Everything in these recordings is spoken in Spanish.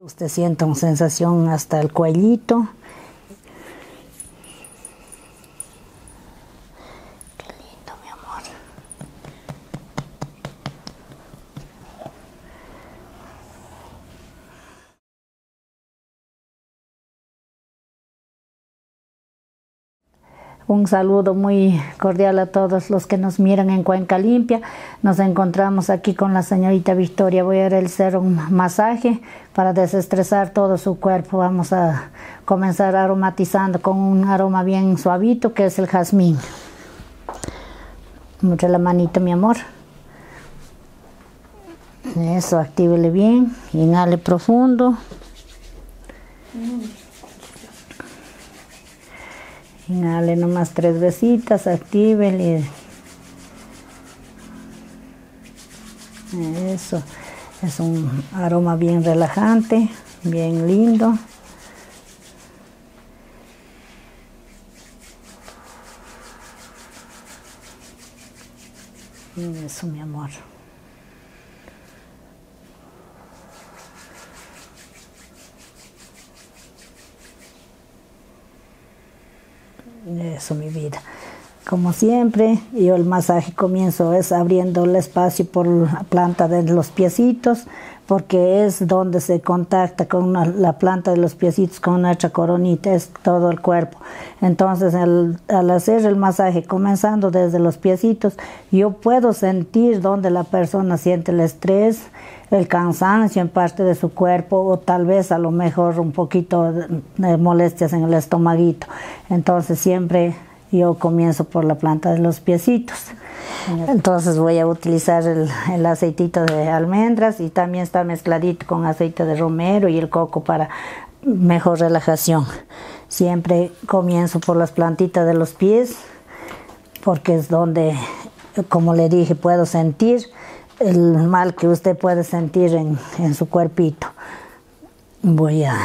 Usted sienta una sensación hasta el cuellito. Qué lindo, mi amor. Un saludo muy cordial a todos los que nos miran en Cuenca Limpia. Nos encontramos aquí con la señorita Victoria. Voy a hacer un masaje para desestresar todo su cuerpo. Vamos a comenzar aromatizando con un aroma bien suavito que es el jazmín. Mucha la manita, mi amor. Eso, actívele bien. Inhale profundo. Inhale nomás tres besitas, actívele. Eso, es un aroma bien relajante, bien lindo. Eso, mi amor. Eso, mi vida. Como siempre, yo el masaje comienzo es abriendo el espacio por la planta de los piecitos, porque es donde se contacta con la planta de los piecitos con nuestra coronita, es todo el cuerpo. Entonces, al hacer el masaje, comenzando desde los piecitos, yo puedo sentir donde la persona siente el estrés, el cansancio en parte de su cuerpo o tal vez a lo mejor un poquito de molestias en el estomaguito. Entonces siempre yo comienzo por la planta de los piecitos. Entonces voy a utilizar el, el, aceitito de almendras y también está mezcladito con aceite de romero y el coco para mejor relajación. Siempre comienzo por las plantitas de los pies porque es donde, como le dije, puedo sentir el mal que usted puede sentir en, su cuerpito. Voy a...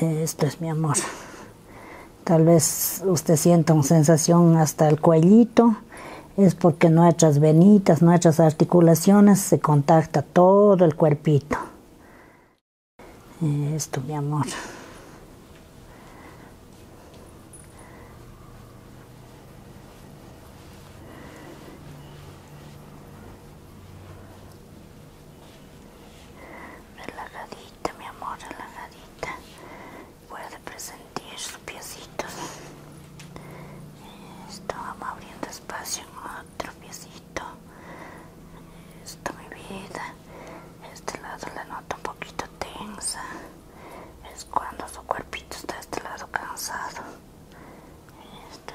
Esto es mi amor. Tal vez usted sienta una sensación hasta el cuellito. Es porque nuestras venitas, nuestras articulaciones se contacta todo el cuerpito. Esto, mi amor relajadita mi amor relajadita puede presentir su piecito. esto vamos abriendo espacio en otro piecito esto mi vida este lado la noto un poquito tensa es cuando su cuerpito está de este lado cansado. Este.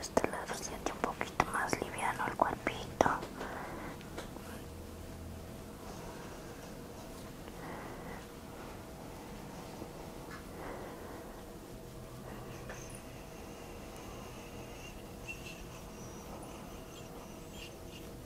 Este lado siente un poquito más liviano el cuerpito.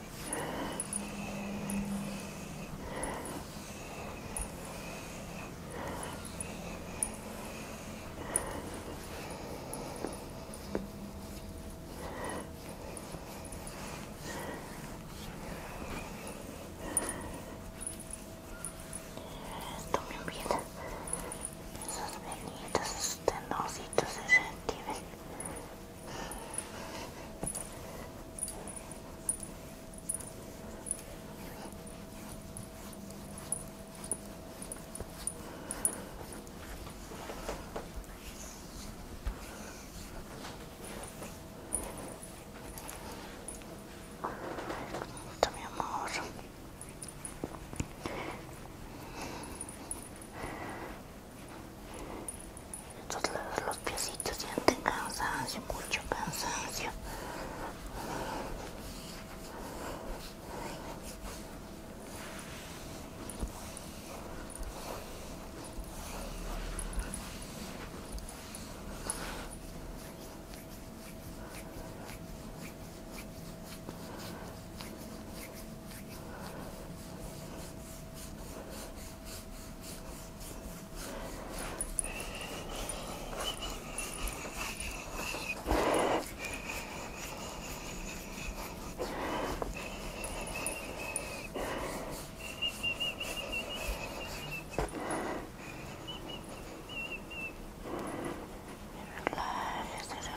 esto También bien esos venidos, esos tenositos se retiren mi amor entonces los piecitos sienten cansancio, mucho cansancio. Relájese, relájese,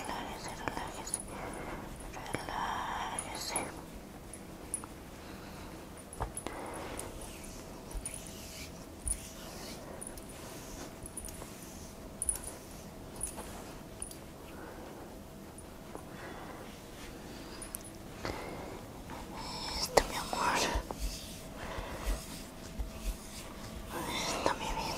relájese, relájese. está meu amor, está minha vida.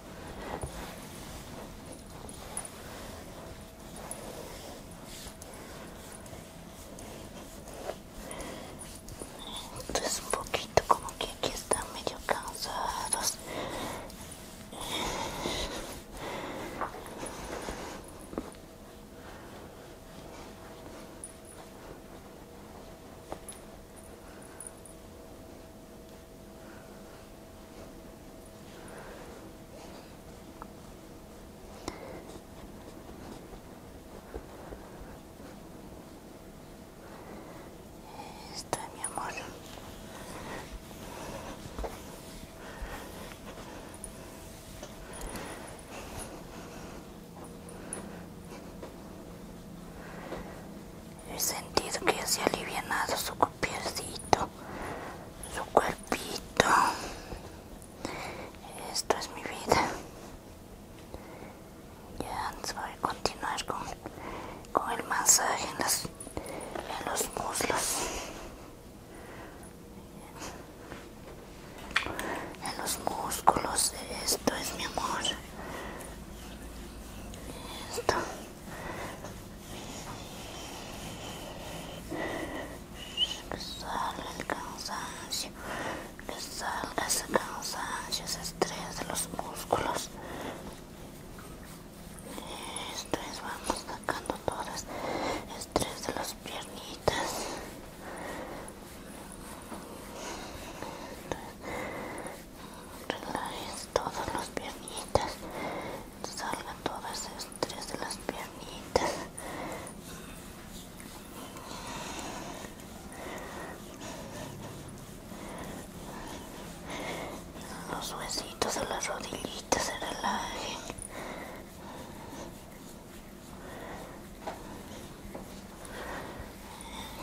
es un poquito como que aquí están medio cansados. Está mi amor. He sentido que se ha alivianado su cuerpo, su cuerpito. Esto es mi vida. Ya antes voy a continuar con, con el masaje en, en los muslos. En los músculos. Esto es mi amor. Esto. Que salga el cansancio, que salga ese cansancio, ese estrés de los músculos. Estrés, vamos sacando todas. Este estrés de las piernitas relaje todas los piernitas salga todas estas tres de las piernitas los huesitos de las rodillitas se relajen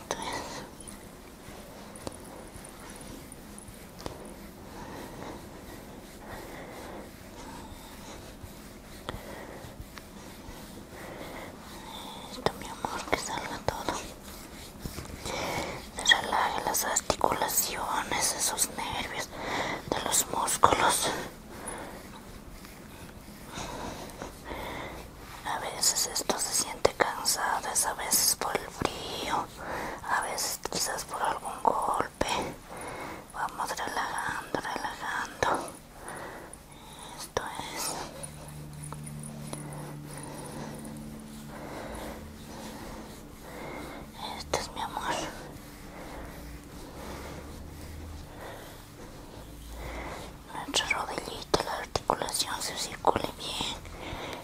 entonces esto mi amor, que salga todo. relaje las articulaciones, esos nervios de los músculos. A veces esto se siente cansado, es a veces por el frío a veces quizás por algún golpe vamos relajando relajando esto es esto es mi amor nuestra rodillito, la articulación se circule bien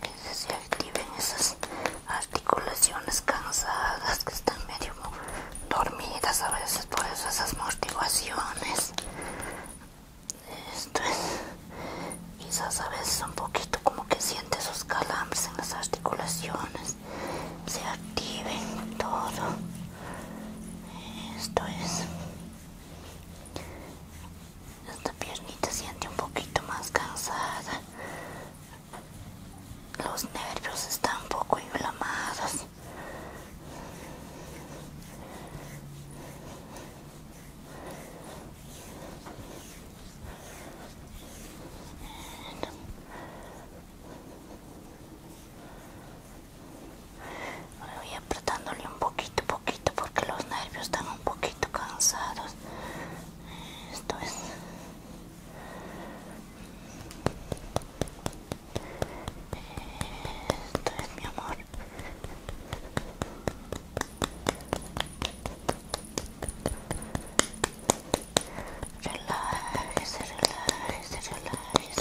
que se activen esas articulaciones cansadas que están medio dormidas a veces por eso esas motivaciones esto es quizás a veces un poquito como que siente esos calambres en las articulaciones se activen todo esto es esta piernita siente un poquito más cansada. Los nervios están un poco inflamados. Voy apretándole un poquito, poquito, porque los nervios están un poquito cansados. Esto es. Esto es mi amor. Relájese, relájese, relájese.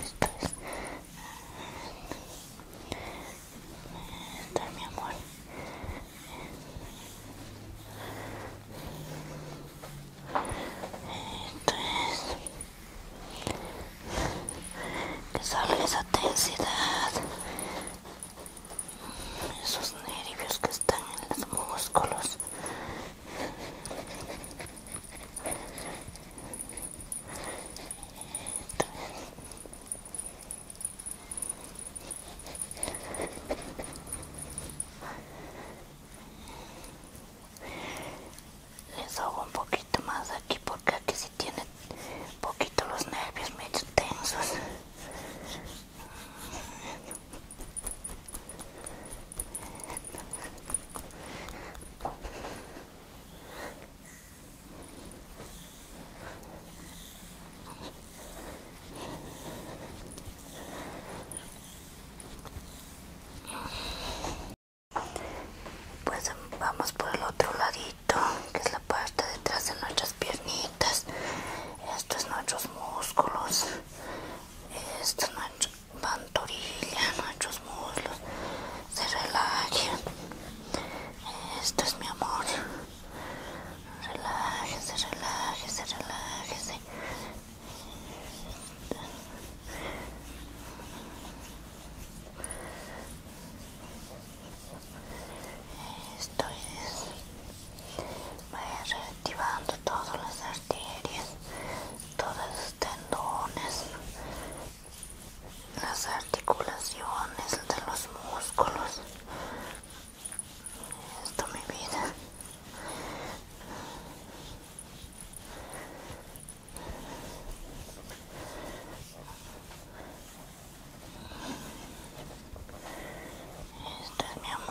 Esto es está mi amor esto es que esa tensidad esos nervios que están en los músculos les hago un poquito más aquí porque aquí sí tienen un poquito los nervios medio tensos. Pues vamos por el otro ladito, que es la parte detrás de nuestras piernitas. Estos es nuestros músculos. esto es nuestra nuestros muslos se relajan. Esto es mi amor. Relájese, relájese, relájese. Esto es. ir reactivando todas las arterias, todos los tendones las articulaciones de los músculos esto mi vida esto es mi amor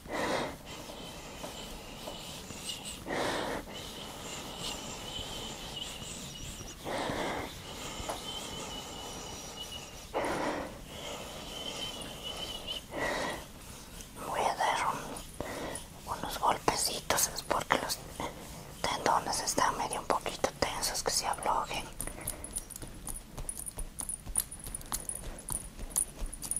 Voy a dar unos golpecitos porque los tendones están medio un poquito tensos que se ablojen.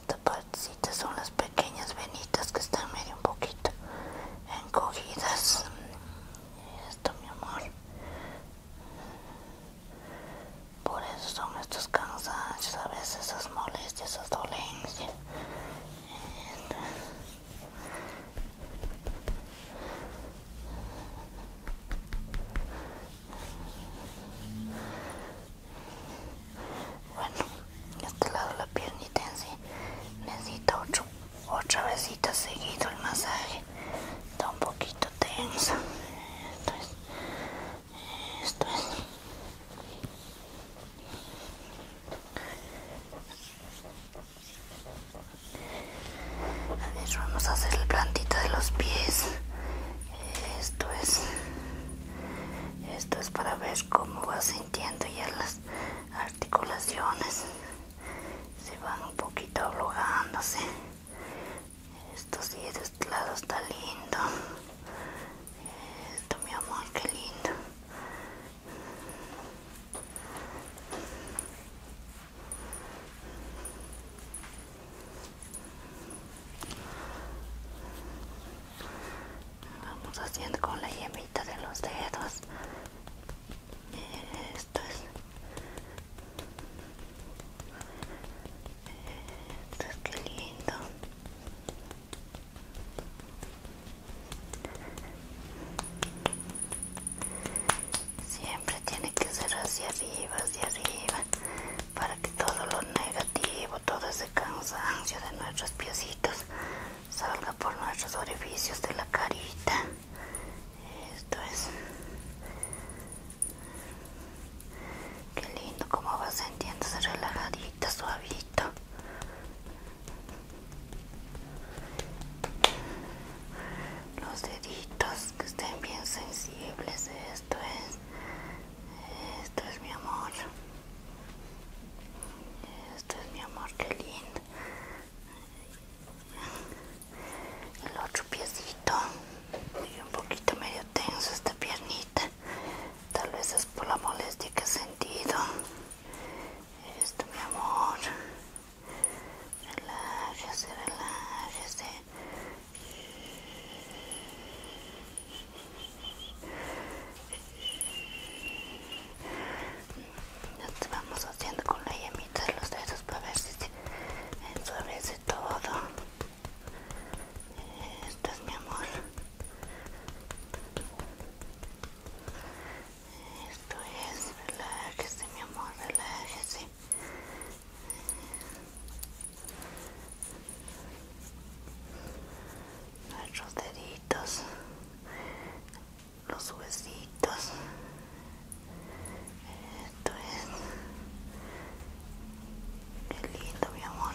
Esta parte son las pequeñas venitas que están medio un poquito encogidas. Esto, mi amor. Por eso son estos cansancios, a veces esas molestias, esas dolencias. Este. Bueno, de este lado la piernita en sí necesita otra ocho seguido el masaje. Está un poquito tensa. Esto es. Esto es. A vamos a hacer el plantito de los pies. Esto es. Esto es para ver cómo va sintiendo ya las articulaciones. Se van un poquito ablogándose. Esto sí, de este lado está lindo. Esto, mi amor, qué lindo. Vamos haciendo con la yemita de los dedos. Esto es, esto es que lindo. Siempre tiene que ser hacia arriba, hacia arriba, para que todo lo negativo, todo ese cansancio de nuestros piecitos salga por nuestros orificios de la carita. Esto es. Qué lindo como va sintiéndose relajadita, suavito los deditos que estén bien sensibles esto es esto es mi amor esto es mi amor que lindo el otro piecito un poquito medio tenso esta piernita tal vez es por la molestia que he sentido esto mi amor relájese, relájese. vamos haciendo con la yemita de los dedos para ver si se ensuavece todo. Esto es mi amor. Esto es, relájese mi amor, relájese. Nuestros deditos, los huesitos. Esto es. Qué lindo, mi amor.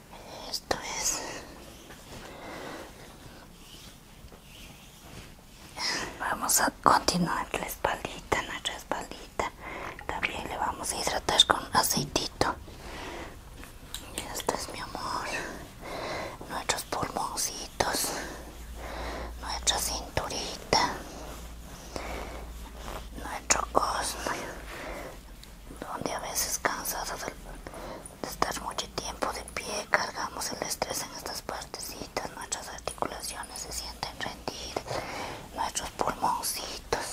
esto es vamos a continuar la espaldita nuestra espaldita también le vamos a hidratar con aceitito esto es mi amor nuestros pulmoncitos nuestra cinturita nuestro cosmo donde a veces cansados de estar mucho tiempo de pie cargamos el estrés en estas partecitas, nuestras articulaciones se sienten rendidas, nuestros pulmoncitos,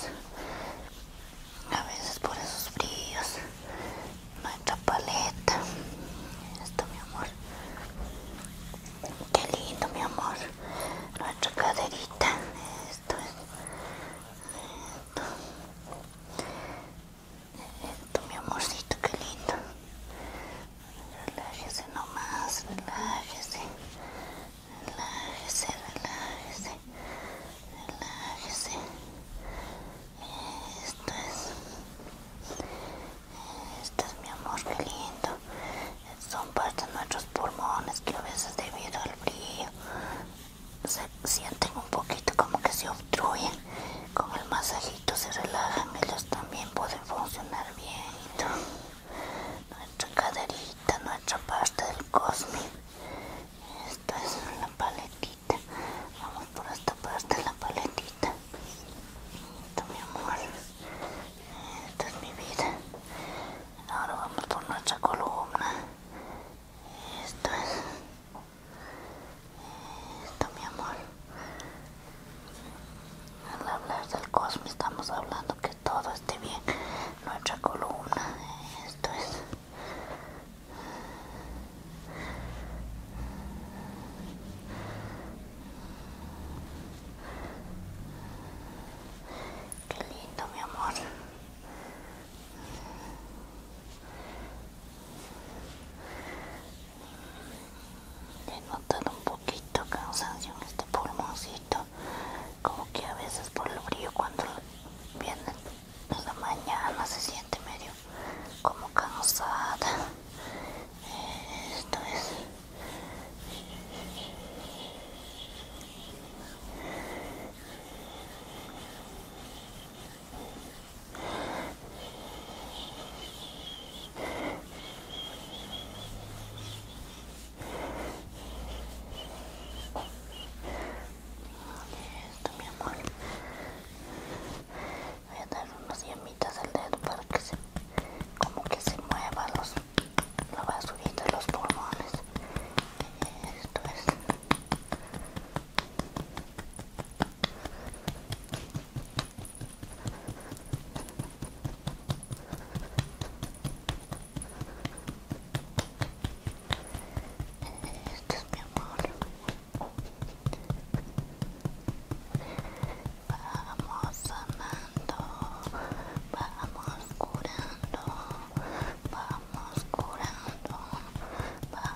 a veces por esos fríos nuestra paleta, esto mi amor, qué lindo mi amor, nuestra caderita, esto es, esto. Esto, mi amorcito, qué lindo. Relájese nomás, relájese. Relájese, relájese. Relájese. Esto es. Esto es mi amor, que lindo. Son parte de nuestros pulmones que a veces debido al frío se sienten un poquito como que se obstruyen con el masajito se relajan ellos también pueden funcionar bien nuestra caderita nuestra parte del Cosmic esto es la paletita vamos por esta parte de la paletita esto mi amor esto es mi vida ahora vamos por nuestra columna esto es esto mi amor al hablar del cosmos estamos hablando que todo esté bien nuestra columna esto es Qué lindo, mi amor. He notado un poquito cansancio en este pulmoncito, como que a veces por el brillo cuando viene la mañana se siente medio como cansada. Esto es esto mi amor. Voy a dar unas llamitas al dedo para que se como que se mueva los la basurita los pulmones. Esto es. Esto es mi amor. Vamos amando, vamos curando, vamos curando,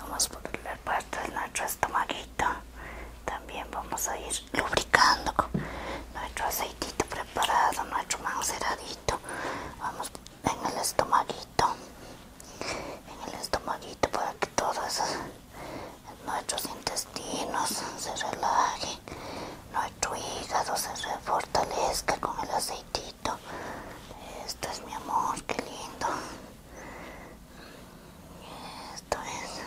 vamos a ponerle parte de nuestro estomaguito también vamos a ir lubricando nuestro aceitito preparado nuestro manceradito vamos en el estomaguito en el estomaguito para que todos nuestros intestinos se relajen nuestro hígado se fortalezca con el aceitito esto es mi amor, qué lindo esto es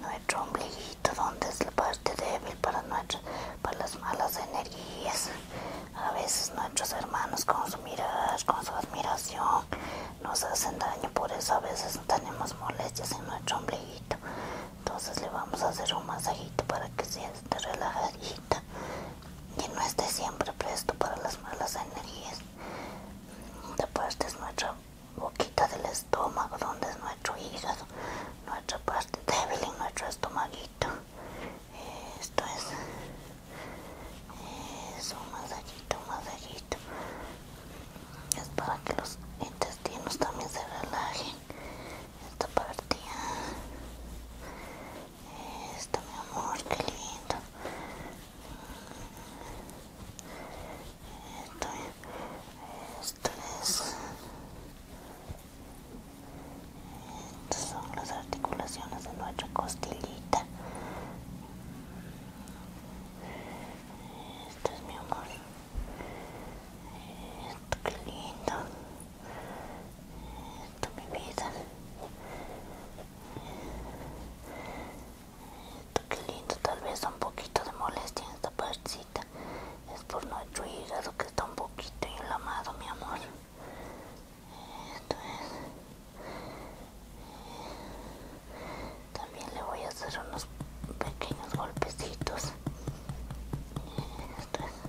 nuestro ombliguito, donde es la parte débil para, para las malas energías. A veces nuestros hermanos con su mirar, con su admiración, nos hacen daño, por eso a veces tenemos molestias en nuestro ombliguito. Entonces le vamos a hacer un masajito para que se relajado que no esté siempre presto para las malas energías. esta parte es nuestra boquita del estómago, donde es nuestro hígado, nuestra parte débil y nuestro estomaguito. Esto es, eso, un masajito, un masajito. Es para que los intestinos también se relajen. Esta parte. Esto, mi amor, qué lindo. Esto, es. Estas son las articulaciones de nuestra costillita. Esto es mi amor. Esto, qué lindo esto mi vida esto que lindo tal vez un poquito de molestia en esta partecita es por nuestro hígado que está un poquito inflamado mi amor esto es también le voy a hacer unos pequeños golpecitos esto es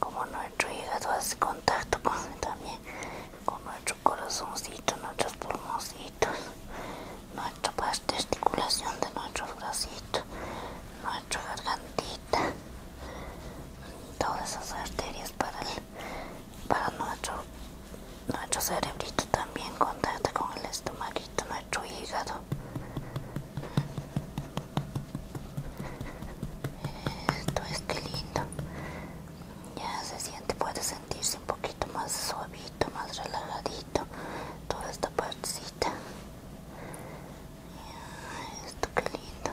como nuestro hígado hace contacto con, también con nuestro corazoncito, nuestros pulmoncitos, nuestra parte de de nuestros bracitos, nuestra gargantita, todas esas arterias para, el, para nuestro nuestro cerebrito también contacta con el estomaguito, nuestro hígado. Esto es que lindo. Ya se siente, puede sentirse un poquito más suavito, más relajadito. Toda esta partecita. esto que lindo.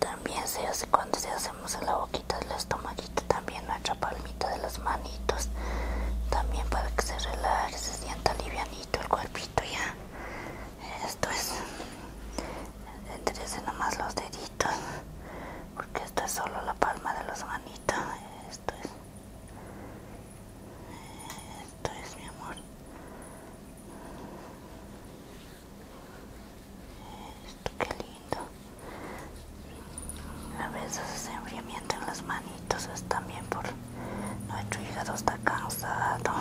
También se hace cuando se hacemos en la boca del los también nuestra palmita de los manitos, también para que se relaje, se sienta livianito el cuerpito ya. Esto es, ese nomás los deditos, porque esto es solo la palma de los manitos. Esto es, esto es mi amor. Esto qué lindo. A veces ese enfriamiento en las manitos es también por nuestro hígado está cansado.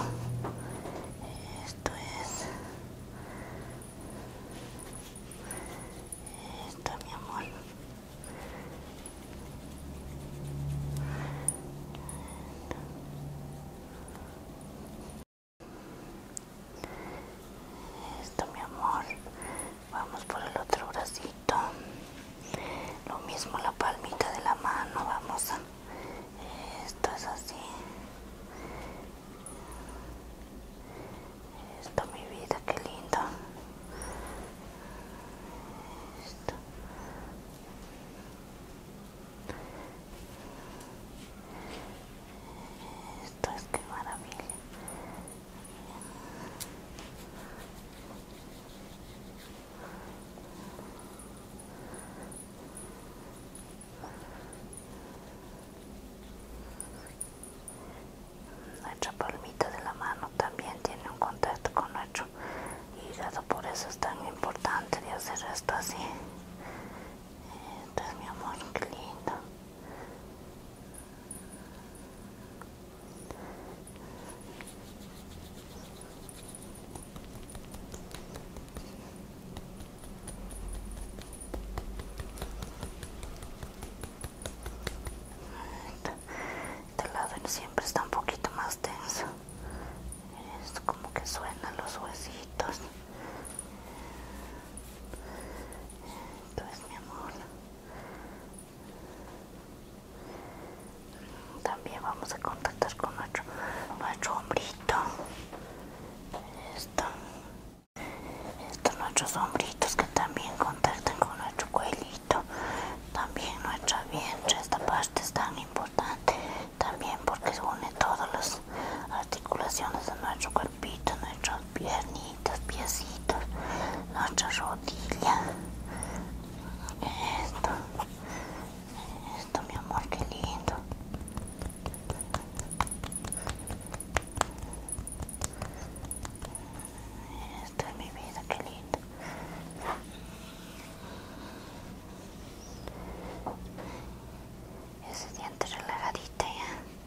Esto es. Esto, mi amor esto mi amor vamos por el otro bracito lo mismo la palmita de la mano vamos a esto es así esto mi vida qué lindo esto. esto es que maravilla nuestra palmita de la mano también tiene un contacto con nuestro hígado, por eso es tan importante de hacer esto así. Eh, entonces, mi amor, qué lindo. Este lado siempre está un poquito más tenso. Es como que suenan los huesitos. es mi amor. También vamos a contactar con nuestro, hombrito. Esto. Estos nuestros hombritos que también contactan con nuestro cuelito. También nuestra vientre. Esta parte es tan importante también porque une todas las articulaciones de nuestro cuerpo. Pito, nuestros piernitos, piecitos, nuestras rodillas. Esto, esto mi amor, qué lindo. Esto es mi vida, qué lindo. Ese diente relajadito ya. ¿eh?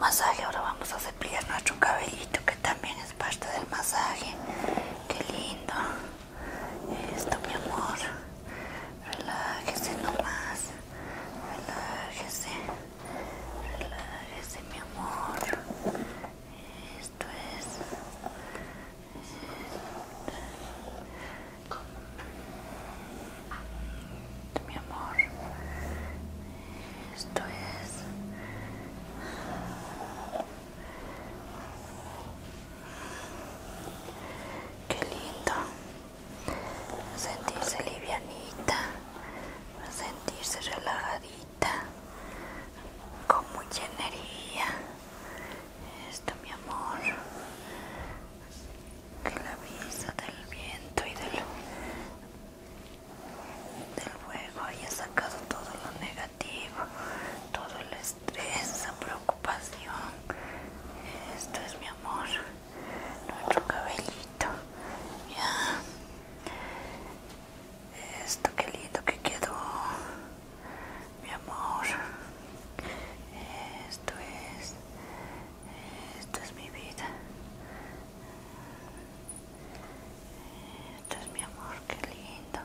masaje ahora vamos a cepillar nuestro cabellito que también es parte del masaje que lindo esto mi amor relájese nomás relájese relájese mi amor esto es esto. mi amor esto es... Qué lindo. Sentirse livianita, sentirse relajadita, con mucha energía. Esto, mi amor, que la brisa del viento y del del fuego haya sacado todo lo negativo, todo el estrés, la preocupación. Esto es mi amor, nuestro cabellito. Esto qué lindo que quedó, mi amor. Esto es, esto es mi vida. Esto es mi amor, qué lindo.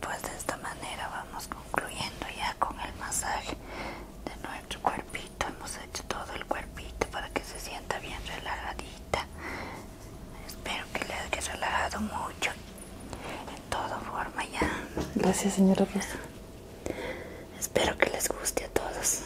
Pues de esta manera vamos concluyendo ya con el masaje de nuestro cuerpito. Hemos hecho todo el cuerpito para que se sienta bien relajadita. Espero que le haya relajado mucho. En toda forma ya. Gracias, señora Rosa. Espero que les guste a todos.